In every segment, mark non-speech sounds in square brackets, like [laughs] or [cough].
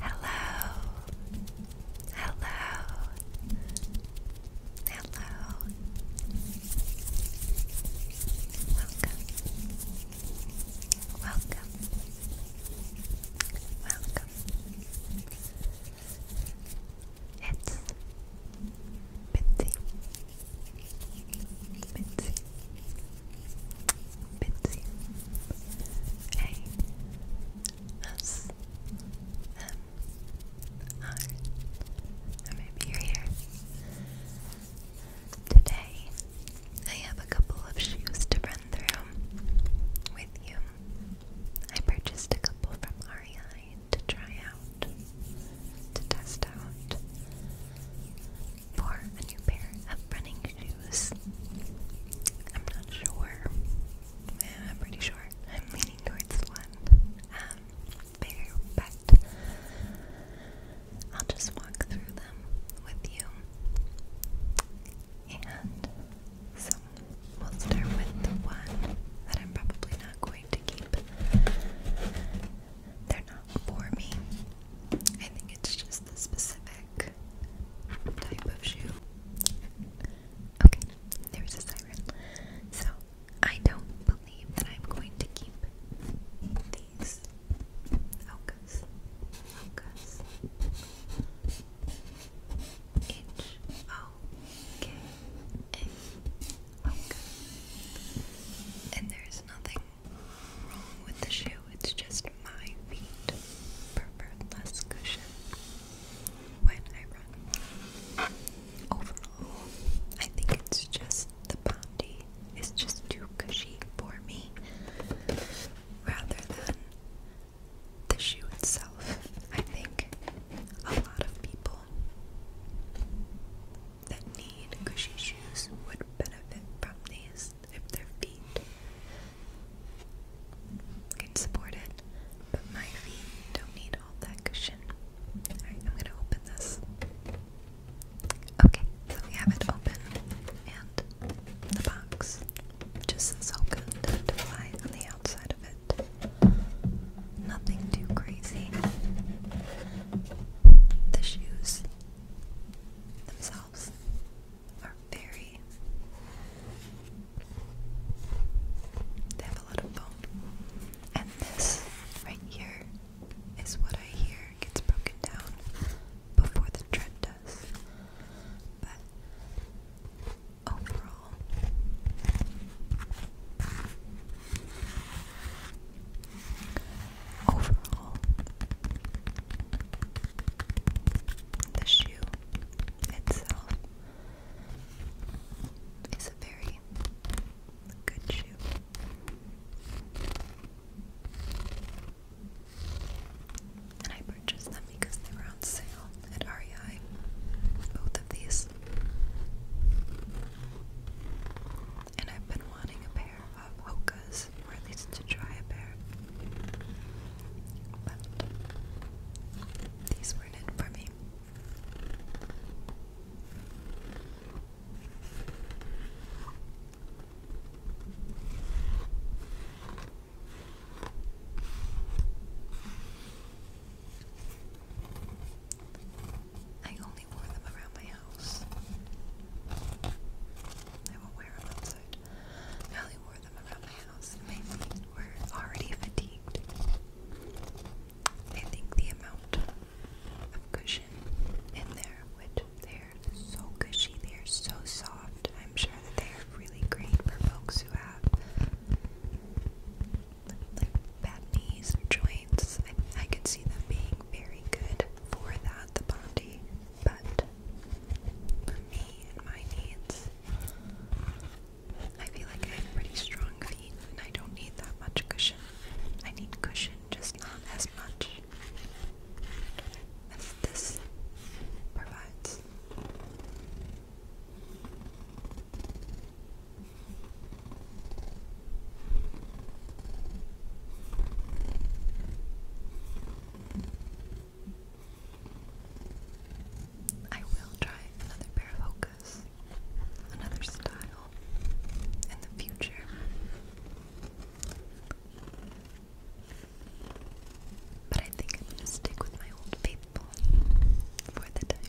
Hello, hello, hello. Welcome, welcome, welcome. It's Bitsy, Bitsy, Bitsy A S M R or maybe you're here. Today I have a couple of shoes to run through with you. I purchased a couple from REI to try out, to test out for a new pair of running shoes. I'm not sure. I'm pretty sure. I'm leaning towards one. Um, but I'll just walk through them with you. And so we'll start with the one that I'm probably not going to keep they're not for me. I think it's just the specific type of shoe. Okay, there a siren. So, I don't believe that I'm going to keep these Hokas. Hokas. H O K A. Hoka. And there's nothing wrong with the shoe, it's just my feet prefer less cushion when I run. Overall, I think it's just the Bondi is just too cushy for me rather than the shoe itself. I think a lot of people that need cushy shoes would benefit from these if their feet can support it, but my feet don't need all that cushion. Alright, I'm gonna open this. Okay, so we have it open, and the box just so to fly on the outside of it. Nothing too crazy. The shoes themselves are very. They have a lot of bone. And this right here is what I hear gets broken down before the tread does. But overall, overall. The shoe itself is a very good shoe. And I purchased them because they were on sale at REI. Both of these and I've been wanting a pair of Hokas, or at least to try a pair. But these weren't it for me. I only wore them around my house. I will wear them outside. I only wore them around my house. My feet were already fatigued. I think the amount of cushion in there, which they're so cushy, they're so soft. I'm sure that they are really great for folks who have like bad knees joints. I, can see them being very good for that, the Bondi, but me and my needs, I feel like I have pretty strong feet and I don't need that much cushion. I need cushion, just not as much as this provides. I will try another pair of Hokas, another style in the future. But I think I'm going to stick with my old faithful for the time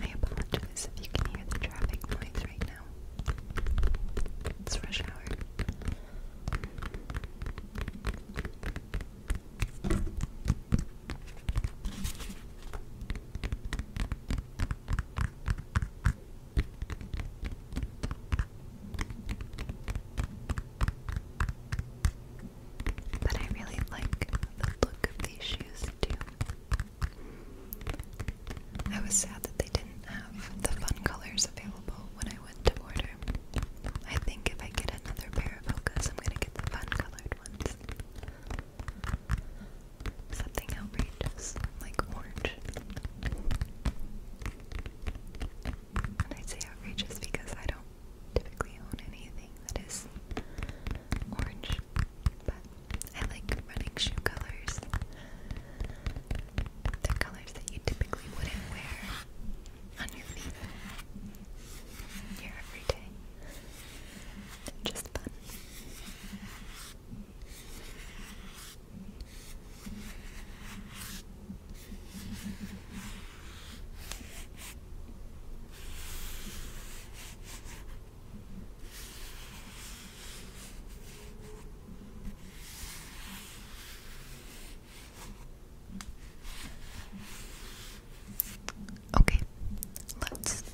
I apologize if you can hear the traffic noise right now. It's rush hour. But I really like the look of these shoes too. I was sad that they didn't have the fun colors available when I went to order. I think if I get another pair of focus, I'm gonna get the fun colored ones. Something outrageous, like orange. And I'd say outrageous because I don't typically own anything that is orange, but I like running shoe colors. They're colors that you typically wouldn't wear on your feet here every day. They're just fun. Okay, let's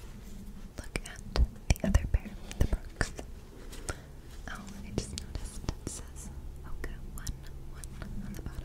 look at the other pair, the Brooks. Oh, I just noticed it says Oka 1 1 on the bottom.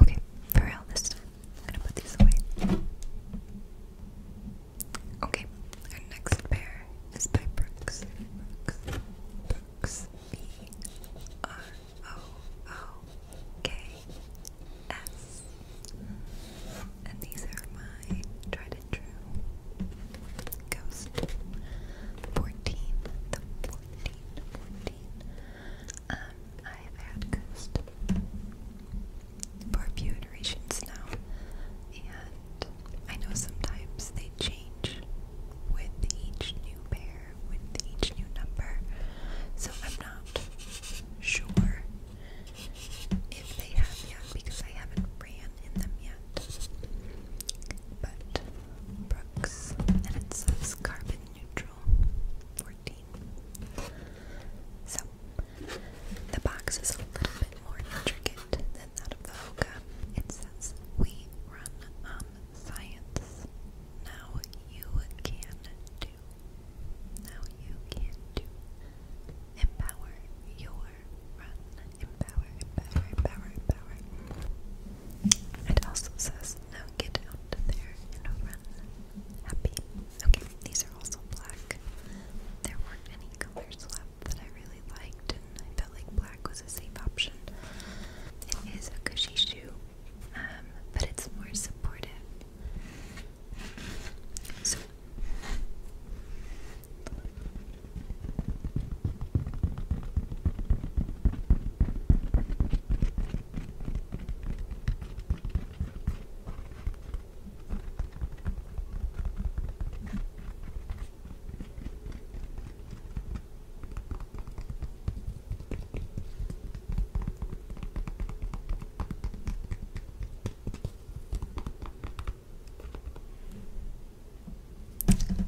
Okay, for real this time. I'm gonna put these away. Okay, our next pair is by Brooks. Brooks. Brooks. B R O O K S. And these are my tried and true ghost. 14, um, I've had ghost for a few iterations now. And I know sometimes they change with each new pair, with each new number. So I'm not sure if they have yet because I haven't ran in them yet. But Brooks, and it says carbon neutral 14. So the box is a little bit more intricate than that of the Hoka. It says, We run on science. Now you can now you can do. Empower your run. Empower, empower, empower, empower. It also says, now get out there and run. Happy. Okay, these are also black. There weren't any colors left that I really liked, and I felt like black was a safe option. It is a cushy shoe, um, but it's more supportive. So,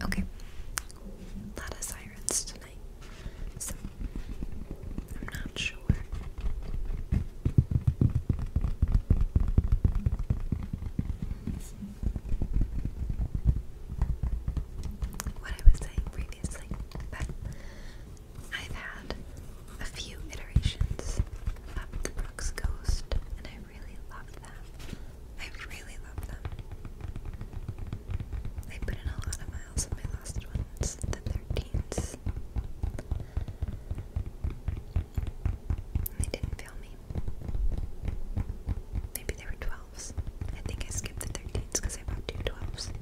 Okay, a lot of sirens tonight, so I'm not sure. What I was saying previously but I've had a few iterations of the Brooks Ghost, and I really love them. I really love them. I put in a lot of miles with my last ones, the 13s. They didn't fail me. Maybe they were 12 I think I skipped the 13s because I bought two 12s.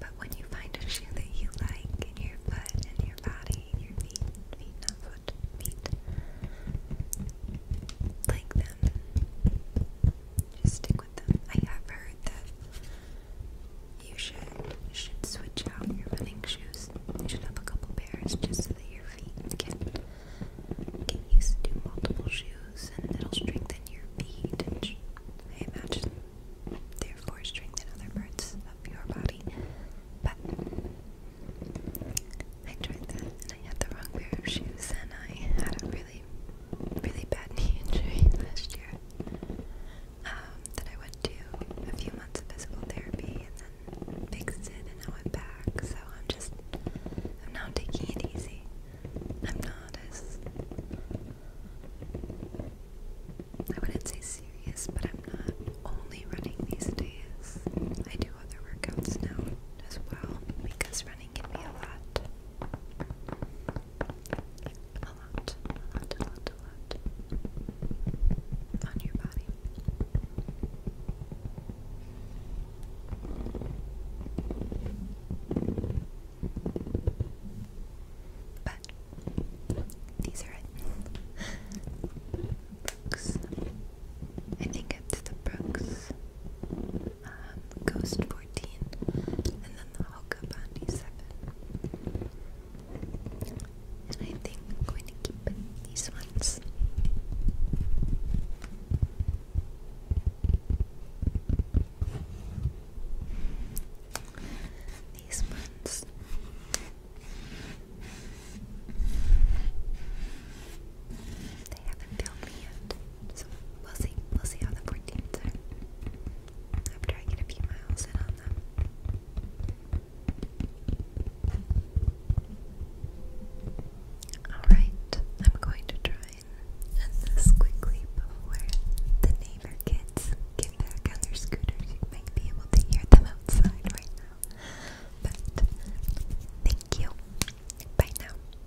But when you find a shoe that you like in your foot and your body, your feet, feet, not foot, feet, like them, just stick with them. I have heard that you should should switch out your running shoes. You should have a couple pairs just so that your feet can get used to multiple shoes, and it'll strengthen your feet. And I imagine, therefore, strengthen other parts of your body. But I tried that, and I had the wrong pair of shoes, and I had a really, really bad knee injury [laughs] last year. Um, that I went to a few months of physical therapy and then fixed it and I went back. So I'm just, I'm now taking it easy. I'm not as, I wouldn't say serious, but I'm not only running these days. I do other workouts now as well because running can be a lot a lot, a lot, a lot, a lot on your body. But these are it. Brooks. I think it's the Brooks um, Ghost 14 and then the Hoka Bondi 7. And I think I'm going to keep these ones. These ones. They haven't filled me yet. So we'll see. We'll see how the 14th are. Alright, I'm going to try and end this quickly before the neighbor kids get back on their scooters. You might be able to hear them outside right now. But thank you. Bye now.